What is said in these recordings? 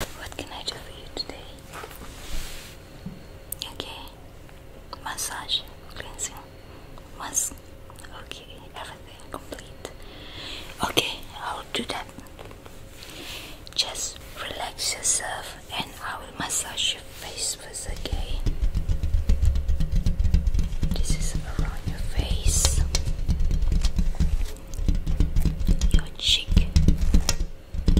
What can I do for you today? Okay, massage, cleansing, mask. Okay, everything complete. Okay, I'll do that. Just relax yourself, and I will massage your face first. Okay, this is around your face, your cheek and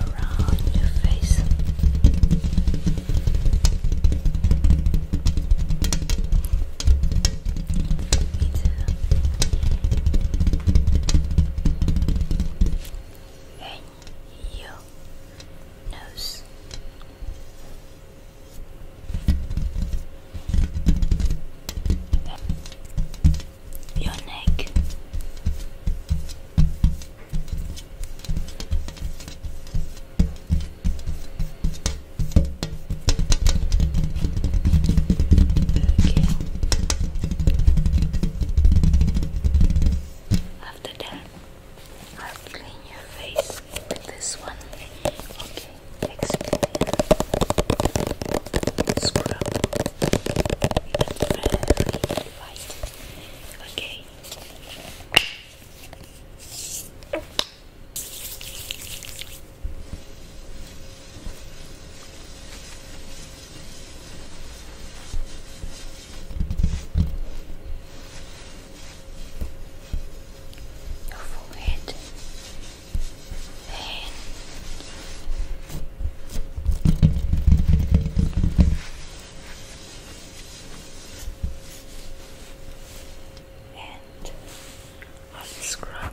around your face. Me in your nose. Your neck, okay. After that, I'll clean your face with this one. Okay, exfoliate, scrub very light. Okay. Your forehead, then and scrub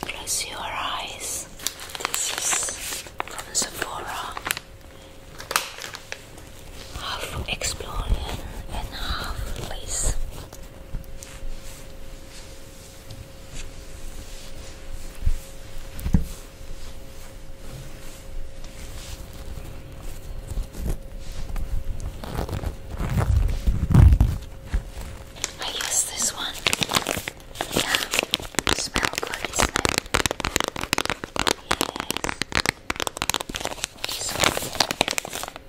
Close your eyes. This is from Sephora half explorer and half race. I use this one. Yeah, it smells good, isn't it?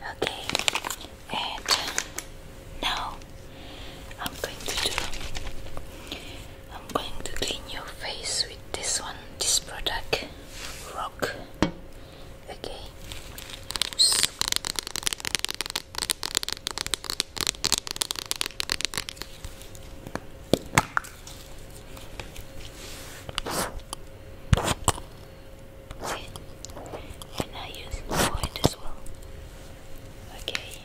okay, and now I'm going to do. I'm going to clean your face with this one, this product, Rock. Okay. See? And I use point as well. Okay.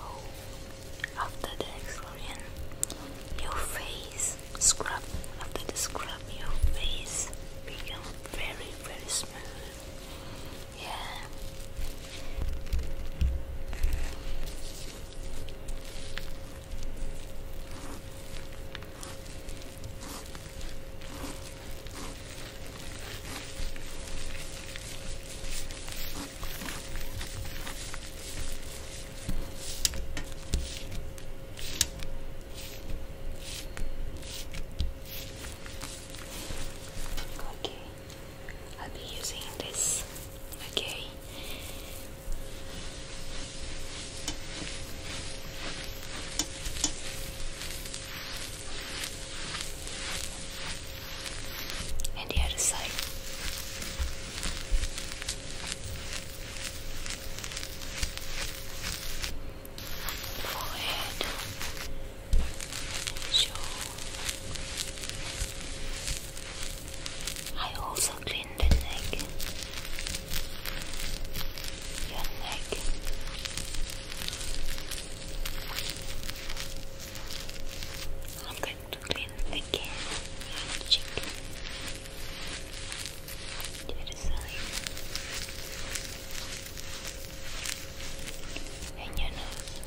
Oh, after the exfoliation, your face scrub. After the scrub, your face become very, very smooth. Yeah. Okay, I'll be using this. Okay, and the other side. Forehead, show. I also in the neck, your neck. I'm going to clean the other side, and your nose.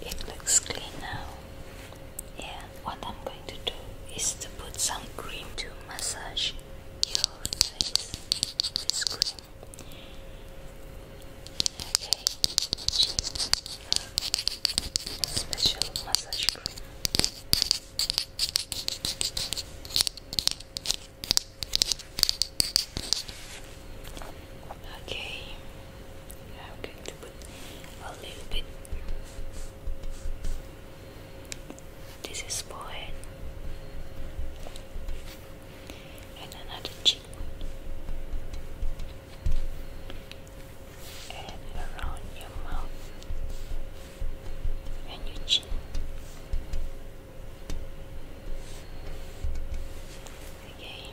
It looks clean now. Yeah what I'm going to do is to put some cream to massage your face. with cream. Okay, special massage cream. Okay, I'm going to put a little bit. This is forehead and another cheekbone and around your mouth and your chin. Okay.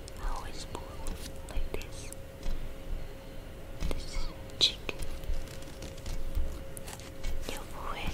I always pull like this. This cheek, your forehead.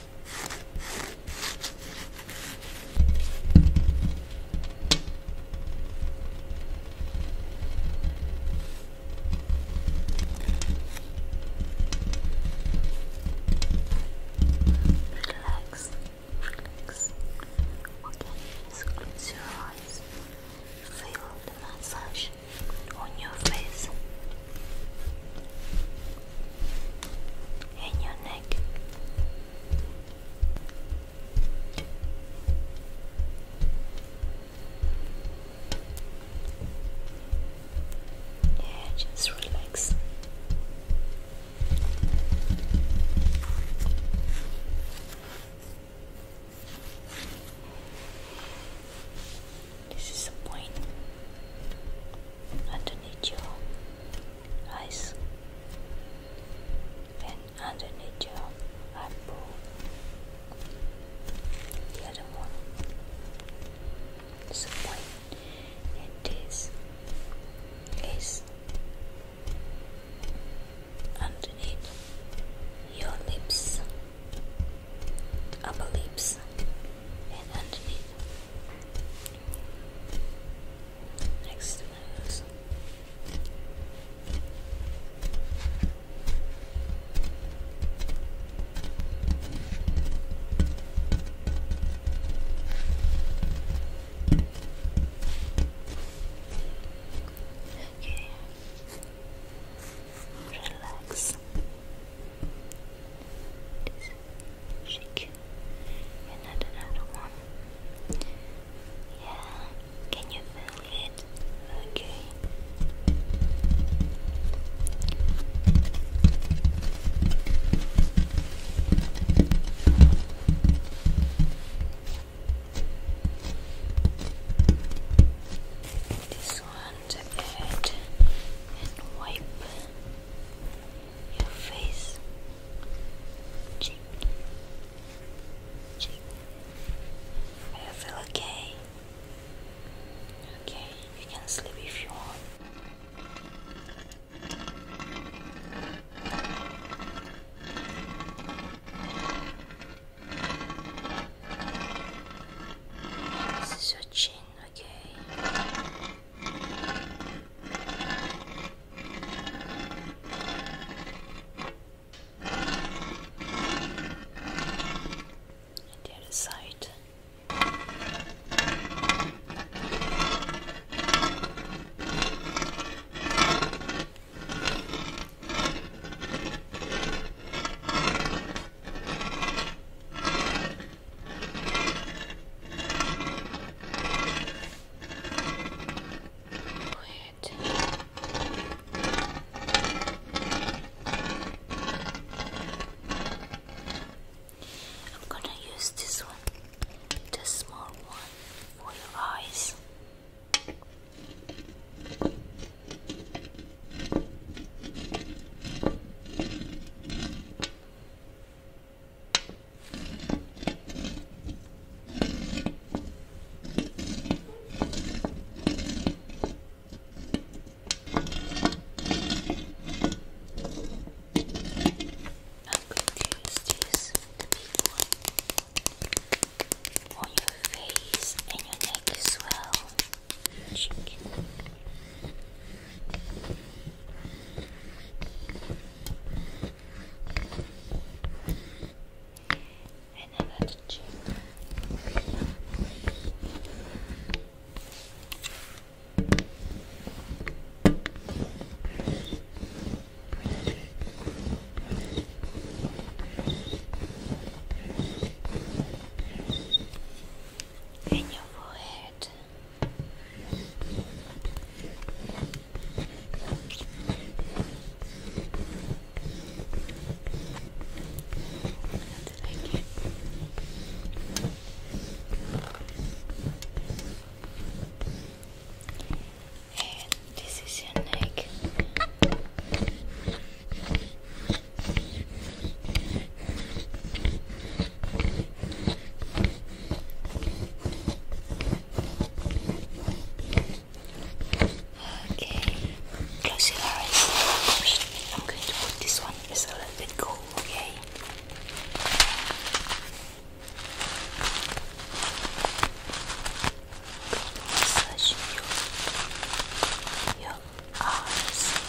Relax, relax. Okay, close your eyes. Feel the massage on your face in your neck. Yeah, just relax. This is the point underneath your eyes and underneath your eyebrow. The other one is a point, and is underneath your lips, upper lips, and underneath Next is Okay. Relax. Just shake and another one. Yeah, can you feel it? Okay. This one to add and wipe your face, cheek, cheek. Do you feel okay? Okay, you can sleep if you want. This is your chin. Okay. And the other side. Weird. I'm gonna use this one, the small one for your eyes to use this, the big one, on your face and your neck as well. Chicken. And then let's your forehead like it. And this is your neck. Okay, close your eyes. I'm going to put this one as a little bit cool, okay? Massage your, your eyes.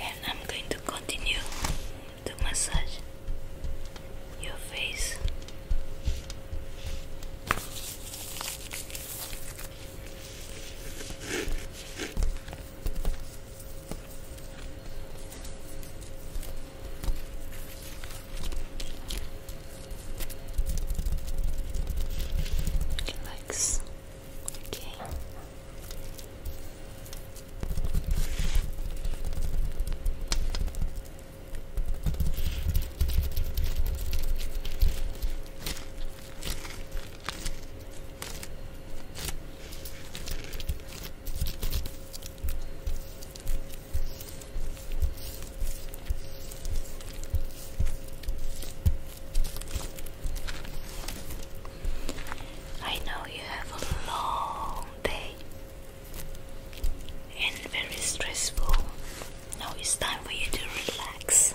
And I'm going to continue to massage your face. Relax. Okay. I know you have a long day and very stressful. Now it's time for you to relax.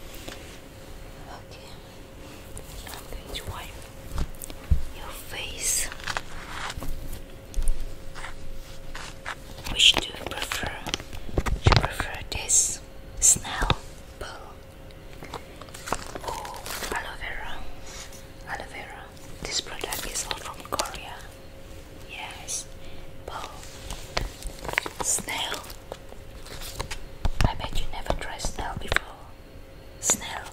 Okay, I'm going to wipe your face. Which do you prefer? Do you prefer this snail pearl or aloe vera? Aloe vera. This product is all from Korea. Yes, pearl, snail I bet you never tried snail before. Snail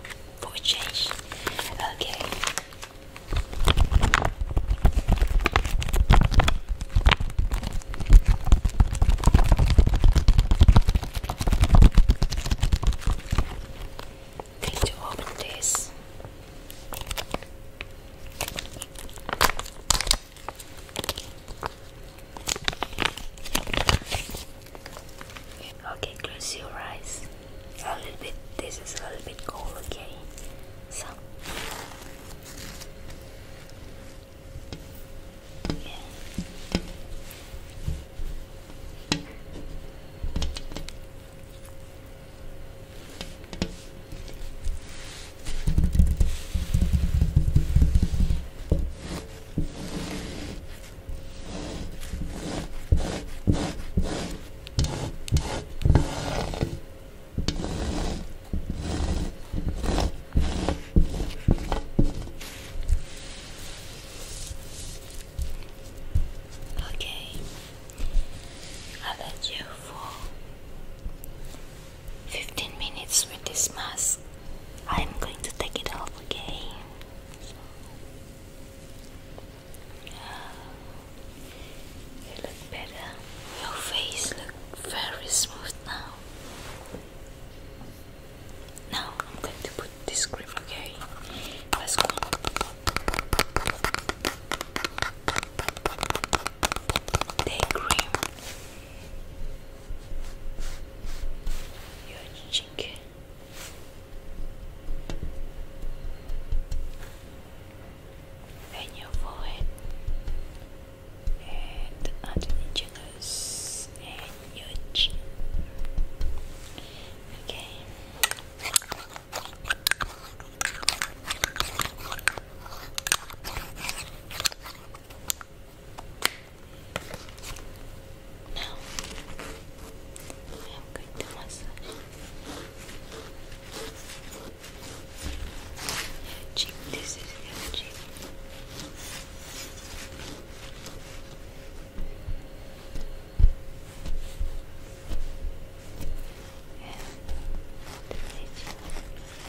for a change. Okay. Need to open this. Okay, close your eyes. A little bit, this is a little bit cold, okay? So, Okay, I bet you for 15 minutes with this mask. I'm going to take it off again. you look better. Your face looks very smooth now. Now I'm going to put this cream, okay? Let's go. Day cream your cheek. And your forehead, and underneath your nose, and your chin. Okay. Now I am going to massage your cheek. This is your cheek. And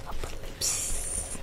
the upper lips.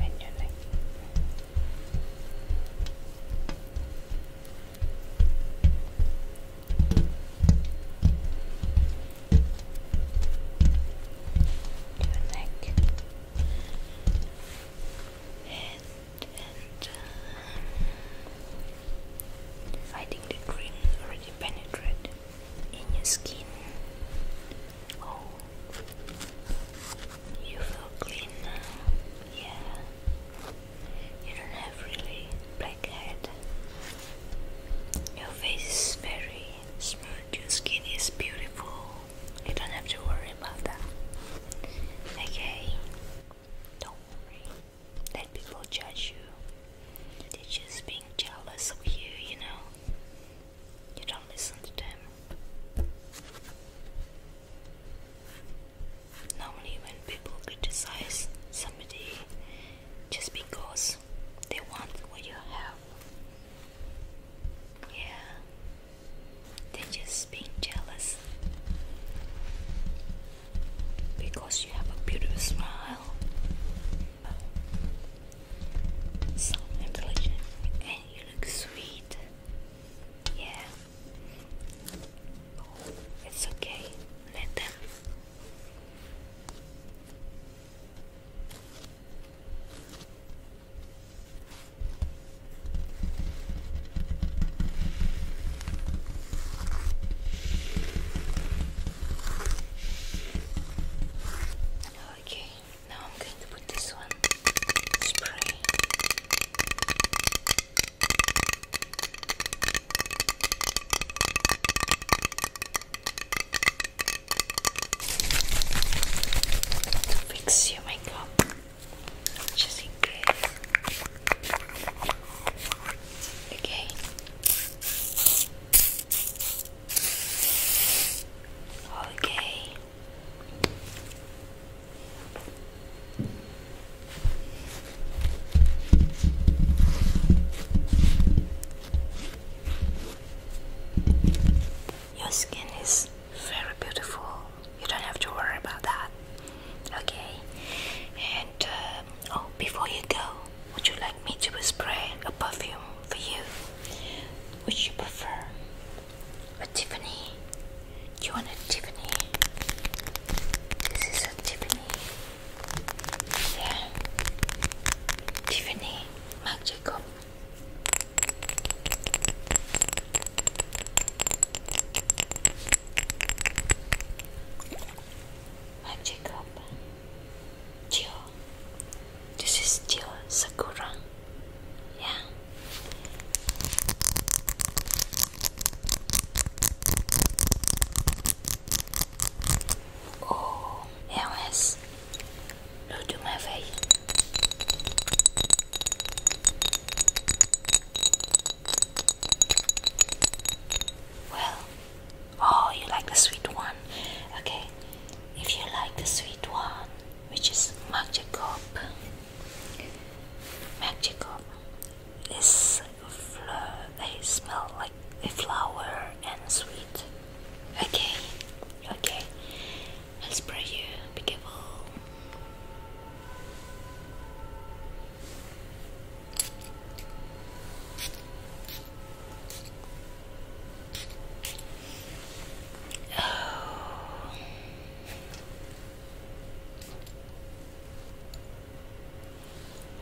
And your neck. Your neck. And and uh, the green already penetrated in your skin. Oh, you feel clean now. Yeah, you don't have really blackhead. Your face is very smooth. Your skin is beautiful. You don't have to worry about that. Okay. Don't worry. Let people judge you. They're just being jealous of you, you know. You don't listen to them. Normally, when people criticize somebody just because they want what you have, yeah, they're just being jealous because you have a beautiful smile, sound intelligent, and you look sweet. Yeah. Oh, it's okay. Let them. Okay, now I'm going to put this one spray. To fix your makeup just in case. Okay. Okay. Your skin is very beautiful you don't have to worry about that. Okay. And uh, oh, before you go, would you like me to spray a perfume for you? Would you prefer a Tiffany? Do you want a Tiffany? This is a Tiffany. Yeah. Tiffany Marc Jacob. I'm Jacob. This is Gio Sakura. Yeah. Oh, Alice. Look my face. Well, oh, you like the sweet one. Okay, if you like the sweet one, which is Magicop, this flower they smell like a flower and sweet. Okay, okay, I'll spray you. Be careful. Oh.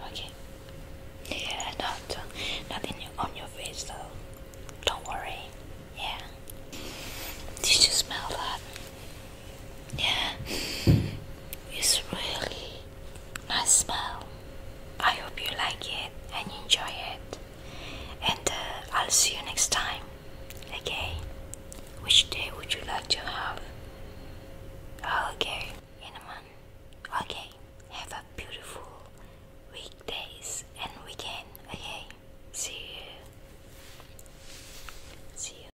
Okay. Yeah, not nothing on your face though. Don't worry. Yeah. Did you smell that? Yeah, it's really nice smell. I hope you like it and enjoy it. And uh, I'll see you next time. Okay, which day would you like to have? Oh, okay, in a month. Okay, have a beautiful weekdays and weekend. Okay, see you. See you.